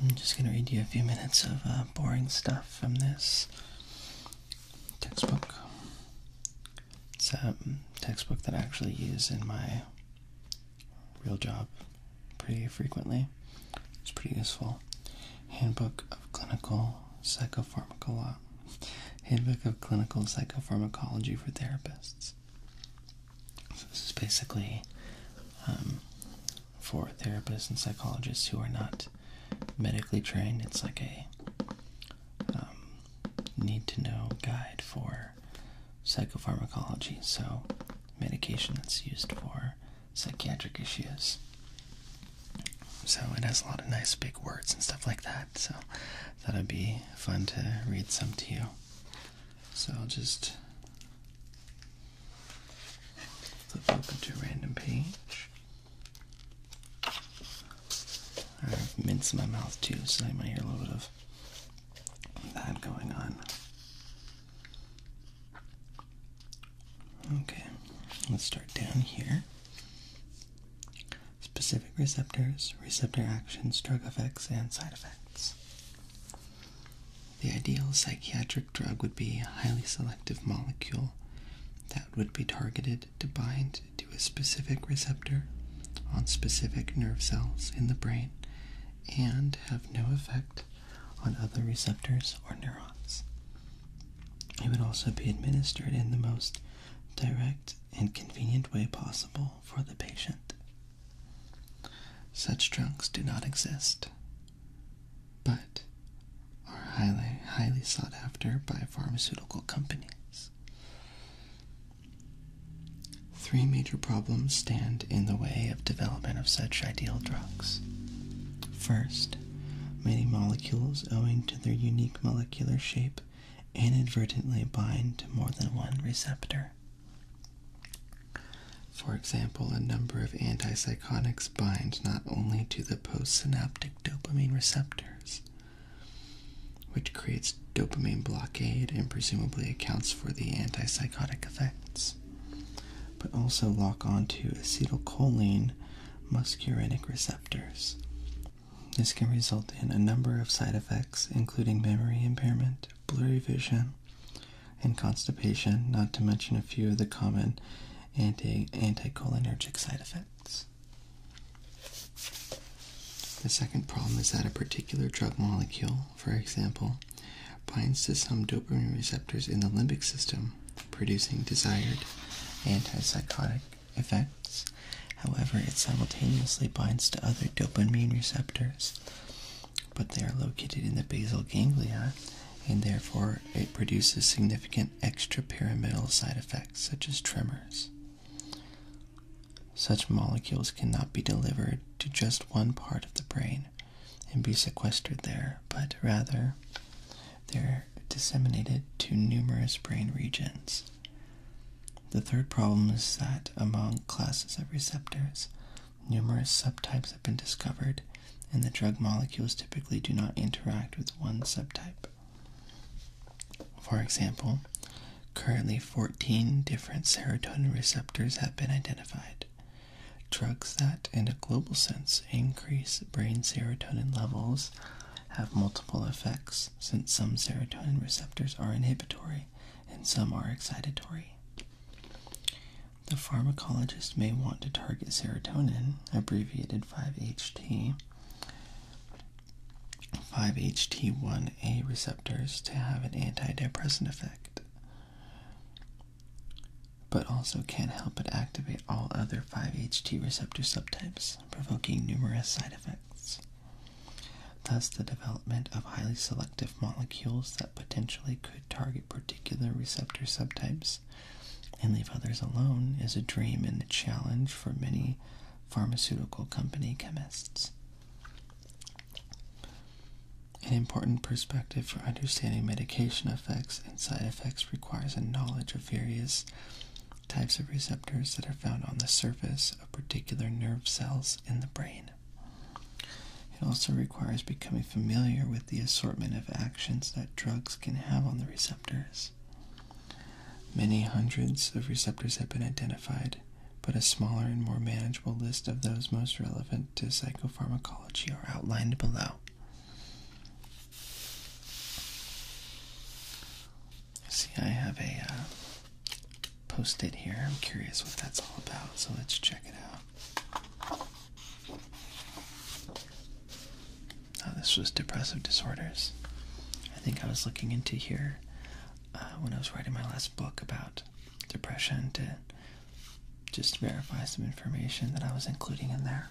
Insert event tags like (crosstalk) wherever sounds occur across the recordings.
I'm just going to read you a few minutes of uh, boring stuff from this textbook. It's a mm, textbook that I actually use in my real job pretty frequently. It's pretty useful. Handbook of Clinical Psychopharmacology. Handbook of Clinical Psychopharmacology for Therapists. So this is basically um, for therapists and psychologists who are not medically trained. It's like a um, need-to-know guide for psychopharmacology. So medication that's used for psychiatric issues. So it has a lot of nice big words and stuff like that. So I thought it'd be fun to read some to you. So I'll just flip open to a random page. I've minced my mouth too, so I might hear a little bit of that going on. Okay, let's start down here specific receptors, receptor actions, drug effects, and side effects. The ideal psychiatric drug would be a highly selective molecule that would be targeted to bind to a specific receptor on specific nerve cells in the brain and have no effect on other receptors or neurons. It would also be administered in the most direct and convenient way possible for the patient. Such drugs do not exist, but are highly, highly sought after by pharmaceutical companies. Three major problems stand in the way of development of such ideal drugs. First, many molecules, owing to their unique molecular shape, inadvertently bind to more than one receptor. For example, a number of antipsychotics bind not only to the postsynaptic dopamine receptors, which creates dopamine blockade and presumably accounts for the antipsychotic effects, but also lock onto acetylcholine muscarinic receptors, this can result in a number of side effects, including memory impairment, blurry vision, and constipation, not to mention a few of the common anticholinergic side effects. The second problem is that a particular drug molecule, for example, binds to some dopamine receptors in the limbic system, producing desired antipsychotic effects. However, it simultaneously binds to other dopamine receptors, but they are located in the basal ganglia and therefore it produces significant extrapyramidal side effects such as tremors. Such molecules cannot be delivered to just one part of the brain and be sequestered there, but rather they're disseminated to numerous brain regions. The third problem is that among classes of receptors, numerous subtypes have been discovered, and the drug molecules typically do not interact with one subtype. For example, currently 14 different serotonin receptors have been identified. Drugs that, in a global sense, increase brain serotonin levels have multiple effects since some serotonin receptors are inhibitory and some are excitatory. The pharmacologist may want to target serotonin, abbreviated 5-HT, 5-HT1A receptors to have an antidepressant effect, but also can't help but activate all other 5-HT receptor subtypes, provoking numerous side effects. Thus, the development of highly selective molecules that potentially could target particular receptor subtypes and leave others alone is a dream and a challenge for many pharmaceutical company chemists. An important perspective for understanding medication effects and side effects requires a knowledge of various types of receptors that are found on the surface of particular nerve cells in the brain. It also requires becoming familiar with the assortment of actions that drugs can have on the receptors. Many hundreds of receptors have been identified, but a smaller and more manageable list of those most relevant to psychopharmacology are outlined below. See, I have a uh, Post it here. I'm curious what that's all about, so let's check it out. Oh, this was depressive disorders. I think I was looking into here uh, when I was writing my last book about depression to just verify some information that I was including in there.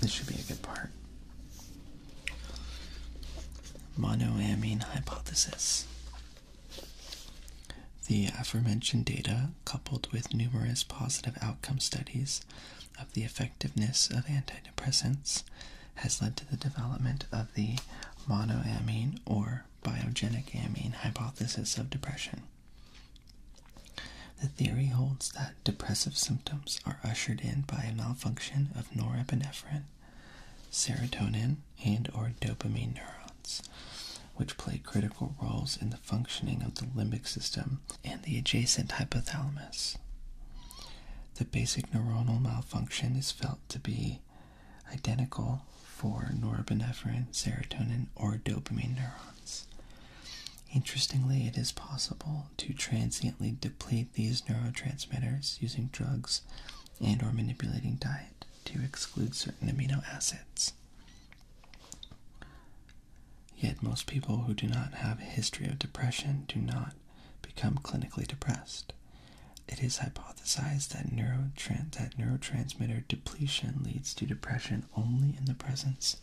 This should be a good part. Monoamine hypothesis. The aforementioned data, coupled with numerous positive outcome studies of the effectiveness of antidepressants, has led to the development of the monoamine or biogenic amine hypothesis of depression. The theory holds that depressive symptoms are ushered in by a malfunction of norepinephrine, serotonin, and or dopamine neurons, which play critical roles in the functioning of the limbic system and the adjacent hypothalamus. The basic neuronal malfunction is felt to be identical for norepinephrine, serotonin, or dopamine neurons. Interestingly, it is possible to transiently deplete these neurotransmitters using drugs and or manipulating diet to exclude certain amino acids. Yet most people who do not have a history of depression do not become clinically depressed. It is hypothesized that, neurotransmitter depletion leads to depression only in the presence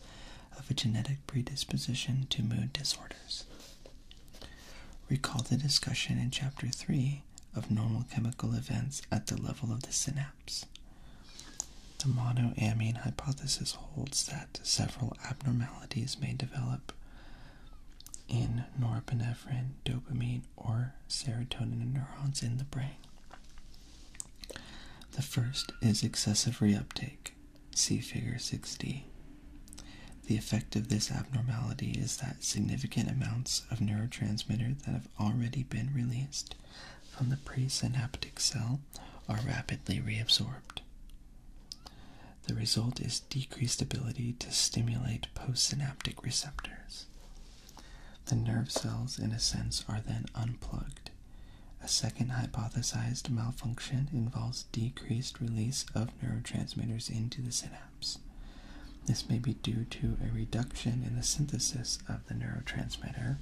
of a genetic predisposition to mood disorders. Recall the discussion in Chapter 3 of normal chemical events at the level of the synapse. The monoamine hypothesis holds that several abnormalities may develop in norepinephrine, dopamine, or serotonin neurons in the brain. The first is excessive reuptake, see Figure 6D. The effect of this abnormality is that significant amounts of neurotransmitter that have already been released from the presynaptic cell are rapidly reabsorbed. The result is decreased ability to stimulate postsynaptic receptors. The nerve cells, in a sense, are then unplugged. A second hypothesized malfunction involves decreased release of neurotransmitters into the synapse. This may be due to a reduction in the synthesis of the neurotransmitter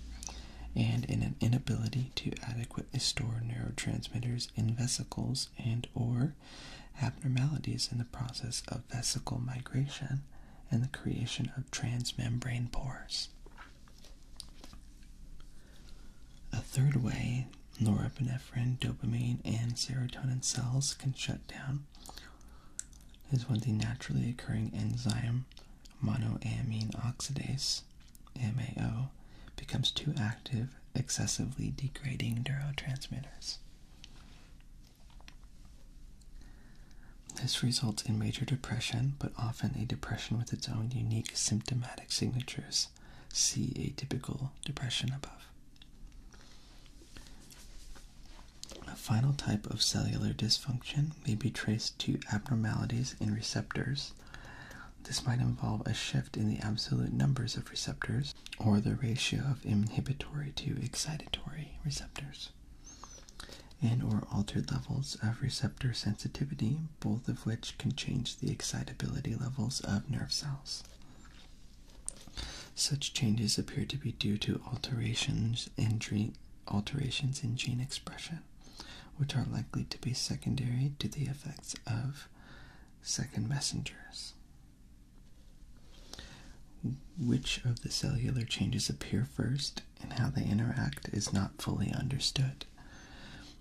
and in an inability to adequately store neurotransmitters in vesicles and or abnormalities in the process of vesicle migration and the creation of transmembrane pores. A third way norepinephrine, dopamine, and serotonin cells can shut down is when the naturally occurring enzyme monoamine oxidase, MAO, becomes too active excessively degrading neurotransmitters. This results in major depression, but often a depression with its own unique symptomatic signatures. See atypical depression above. A final type of cellular dysfunction may be traced to abnormalities in receptors. This might involve a shift in the absolute numbers of receptors or the ratio of inhibitory to excitatory receptors, and or altered levels of receptor sensitivity, both of which can change the excitability levels of nerve cells. Such changes appear to be due to alterations in, alterations in gene expression, which are likely to be secondary to the effects of second messengers. Which of the cellular changes appear first and how they interact is not fully understood.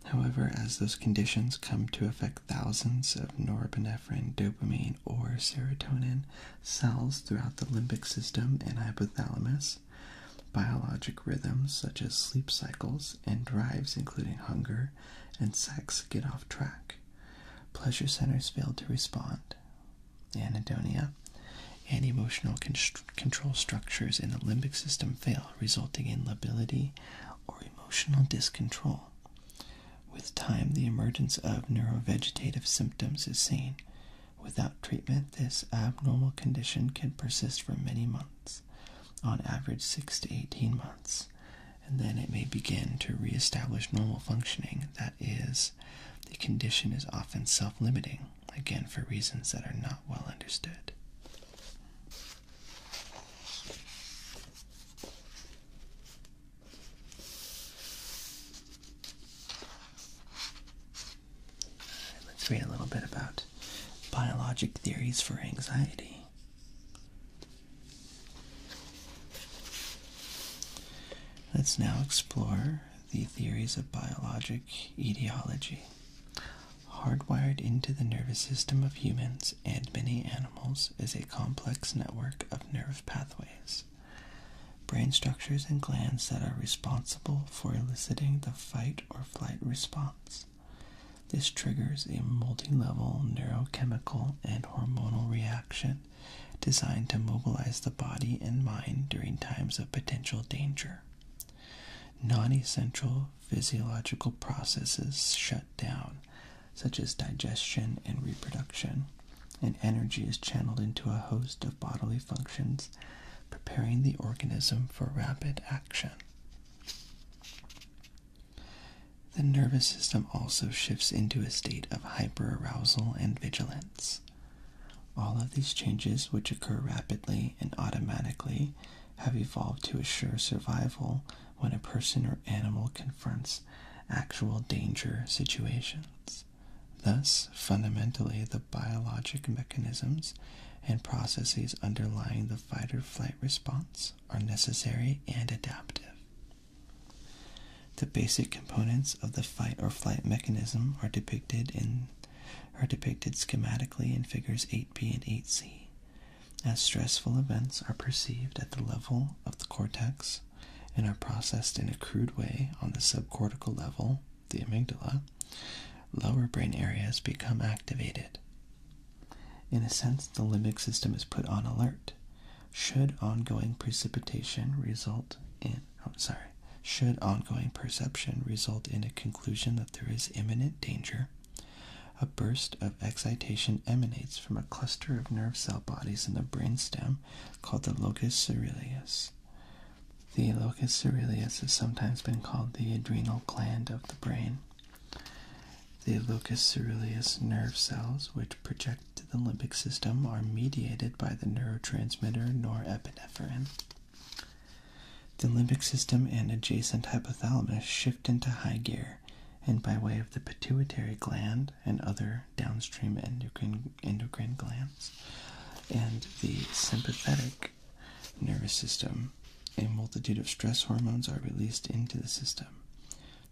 However, as those conditions come to affect thousands of norepinephrine, dopamine, or serotonin cells throughout the limbic system and hypothalamus, biologic rhythms such as sleep cycles and drives, including hunger and sex get off track. Pleasure centers fail to respond. Anhedonia and emotional control structures in the limbic system fail, resulting in lability or emotional discontrol. With time, the emergence of neurovegetative symptoms is seen. Without treatment, this abnormal condition can persist for many months, on average 6 to 18 months, and then it may begin to re-establish normal functioning. That is, the condition is often self limiting, again, for reasons that are not well understood. Uh, let's read a little bit about biologic theories for anxiety. Let's now explore the theories of biologic etiology, hardwired into the nervous system of humans and many animals is a complex network of nerve pathways. Brain structures and glands that are responsible for eliciting the fight or flight response. This triggers a multi-level neurochemical and hormonal reaction designed to mobilize the body and mind during times of potential danger. Non-essential physiological processes shut down, such as digestion and reproduction, and energy is channeled into a host of bodily functions, preparing the organism for rapid action. The nervous system also shifts into a state of hyperarousal and vigilance. All of these changes, which occur rapidly and automatically, have evolved to assure survival when a person or animal confronts actual danger situations. Thus, fundamentally, the biologic mechanisms and processes underlying the fight or flight response are necessary and adaptive. The basic components of the fight or flight mechanism are depicted in are depicted schematically in figures 8b and 8c. As stressful events are perceived at the level of the cortex and are processed in a crude way on the subcortical level, the amygdala, lower brain areas become activated, in a sense, the limbic system is put on alert. Should ongoing precipitation result in, oh, sorry, should ongoing perception result in a conclusion that there is imminent danger, a burst of excitation emanates from a cluster of nerve cell bodies in the brainstem called the locus coeruleus. The locus coeruleus has sometimes been called the adrenal gland of the brain. The locus ceruleus nerve cells, which project to the limbic system, are mediated by the neurotransmitter norepinephrine. The limbic system and adjacent hypothalamus shift into high gear, and by way of the pituitary gland and other downstream endocrine, glands, and the sympathetic nervous system a multitude of stress hormones are released into the system.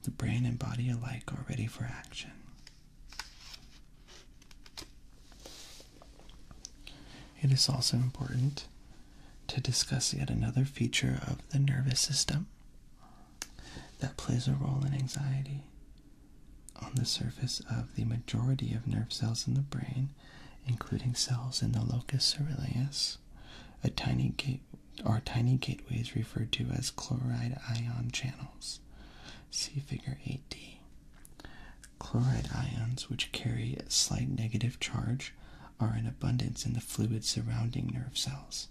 The brain and body alike are ready for action. It is also important to discuss yet another feature of the nervous system that plays a role in anxiety. On the surface of the majority of nerve cells in the brain, including cells in the locus ceruleus, a tiny gate or tiny gateways referred to as chloride ion channels. See figure 8D. Chloride ions, which carry a slight negative charge, are in abundance in the fluid surrounding nerve cells.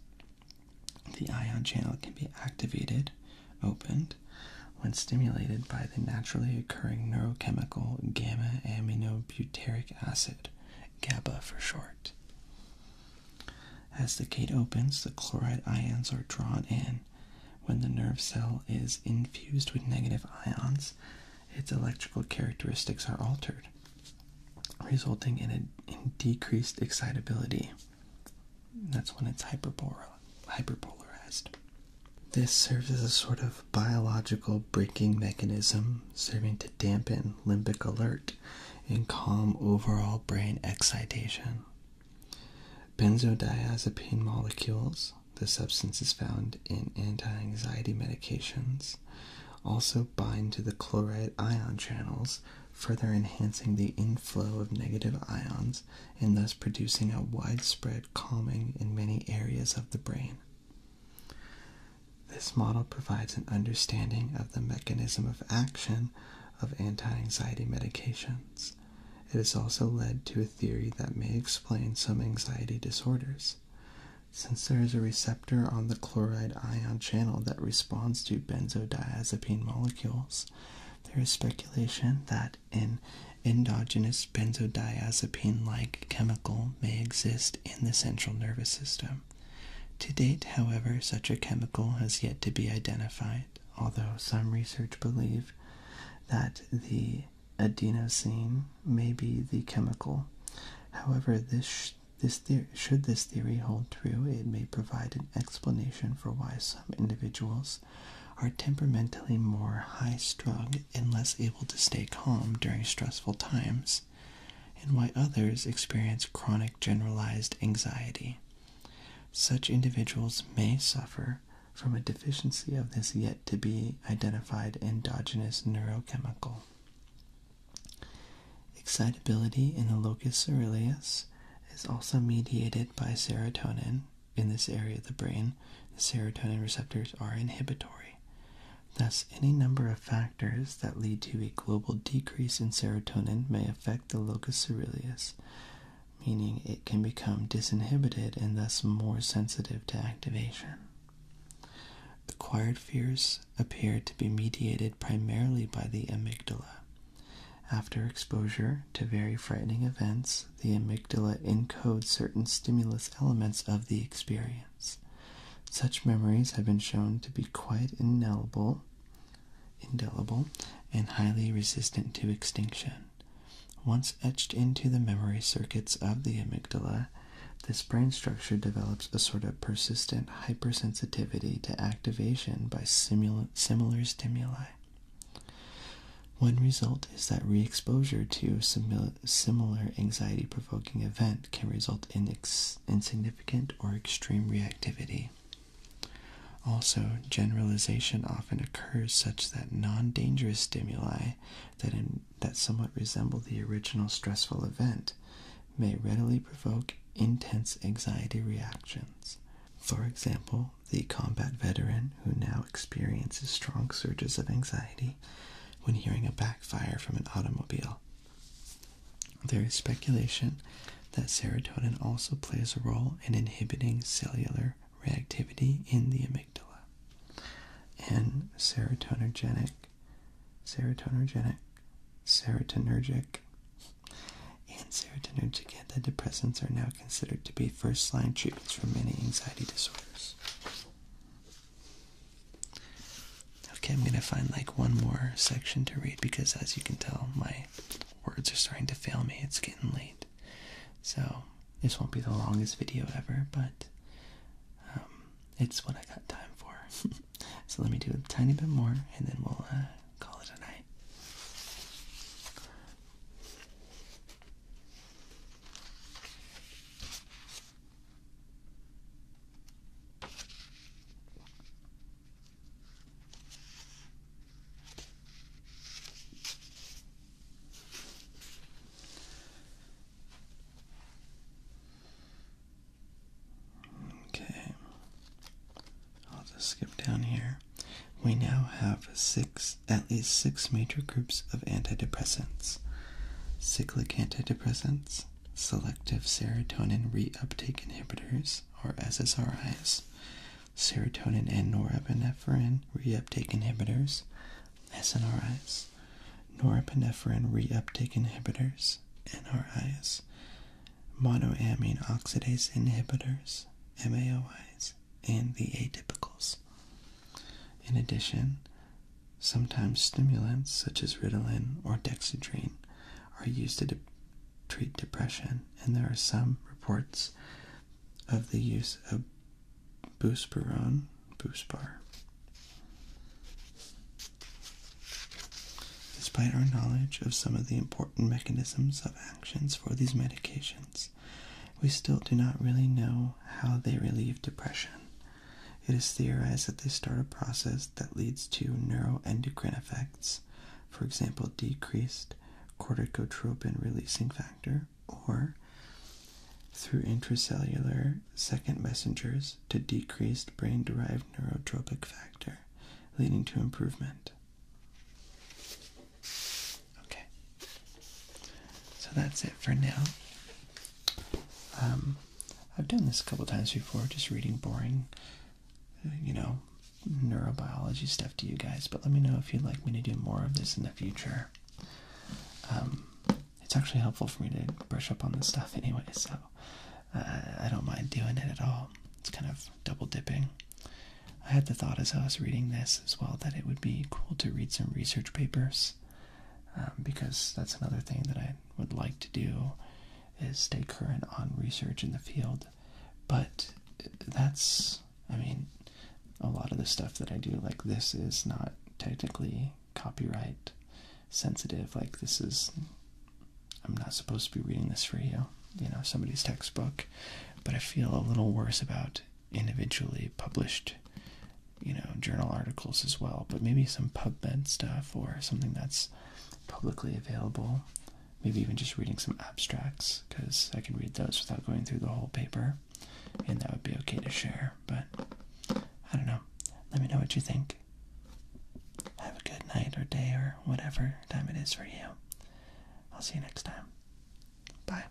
The ion channel can be activated, opened, when stimulated by the naturally occurring neurochemical gamma aminobutyric acid, GABA for short. As the gate opens, the chloride ions are drawn in. When the nerve cell is infused with negative ions, its electrical characteristics are altered, resulting in a decreased excitability. That's when it's hyperpolarized. This serves as a sort of biological braking mechanism serving to dampen limbic alert and calm overall brain excitation. Benzodiazepine molecules, the substances found in anti anxiety medications, also bind to the chloride ion channels, further enhancing the inflow of negative ions and thus producing a widespread calming in many areas of the brain. This model provides an understanding of the mechanism of action of anti anxiety medications. It has also led to a theory that may explain some anxiety disorders. Since there is a receptor on the chloride ion channel that responds to benzodiazepine molecules, there is speculation that an endogenous benzodiazepine like chemical may exist in the central nervous system. To date, however, such a chemical has yet to be identified, although some research believe that the adenosine may be the chemical. However, this this theory, should this theory hold true, it may provide an explanation for why some individuals are temperamentally more high strung and less able to stay calm during stressful times and why others experience chronic generalized anxiety. Such individuals may suffer from a deficiency of this yet to be identified endogenous neurochemical. Excitability in the locus coeruleus is also mediated by serotonin in this area of the brain. serotonin receptors are inhibitory. Thus, any number of factors that lead to a global decrease in serotonin may affect the locus coeruleus, meaning it can become disinhibited and thus more sensitive to activation. Acquired fears appear to be mediated primarily by the amygdala. After exposure to very frightening events, the amygdala encodes certain stimulus elements of the experience. Such memories have been shown to be quite indelible, indelible and highly resistant to extinction. Once etched into the memory circuits of the amygdala, this brain structure develops a sort of persistent hypersensitivity to activation by similar stimuli. One result is that re exposure to similar anxiety provoking events can result in insignificant or extreme reactivity. Also, generalization often occurs such that non-dangerous stimuli that, that somewhat resemble the original stressful event may readily provoke intense anxiety reactions. For example, the combat veteran who now experiences strong surges of anxiety when hearing a backfire from an automobile. There is speculation that serotonin also plays a role in inhibiting cellular reactivity in the amygdala. And serotonergenic, serotonergenic, serotonergic, and serotonergic antidepressants are now considered to be first line treatments for many anxiety disorders. Okay, I'm gonna find like one more section to read because as you can tell, my words are starting to fail me. It's getting late. So this won't be the longest video ever, but um, it's what I got time for. (laughs) so let me do a tiny bit more and then we'll uh, call it a night. Okay, I'll just skip down here. We now have six, at least six major groups of antidepressants. Cyclic antidepressants antidepressants, selective serotonin reuptake inhibitors, or SSRIs, serotonin and norepinephrine reuptake inhibitors, SNRIs, norepinephrine reuptake inhibitors, NRIs, monoamine oxidase inhibitors, MAOIs, and the atypicals. In addition, Sometimes stimulants such as Ritalin or Dexedrine are used to treat depression, and there are some reports of the use of buspirone, buspar. Despite our knowledge of some of the important mechanisms of actions for these medications, we still do not really know how they relieve depression. It is theorized that they start a process that leads to neuroendocrine effects, for example, decreased corticotropin releasing factor, or through intracellular second messengers to decreased brain derived neurotropic factor, leading to improvement. Okay, so that's it for now. Um, I've done this a couple times before, just reading boring, you know, neurobiology stuff to you guys, but let me know if you'd like me to do more of this in the future. Um, it's actually helpful for me to brush up on this stuff anyway, so uh, I don't mind doing it at all. It's kind of double dipping. I had the thought as I was reading this as well that it would be cool to read some research papers um, because that's another thing that I would like to do is stay current on research in the field. But that's, I mean, a lot of the stuff that I do, like this, is not technically copyright sensitive. Like, this is, I'm not supposed to be reading this for you, you know, somebody's textbook. But I feel a little worse about individually published you know, journal articles as well, but maybe some PubMed stuff or something that's publicly available. Maybe even just reading some abstracts because I can read those without going through the whole paper, and that would be okay to share. But I don't know. Let me know what you think. Have a good night or day or whatever time it is for you. I'll see you next time. Bye.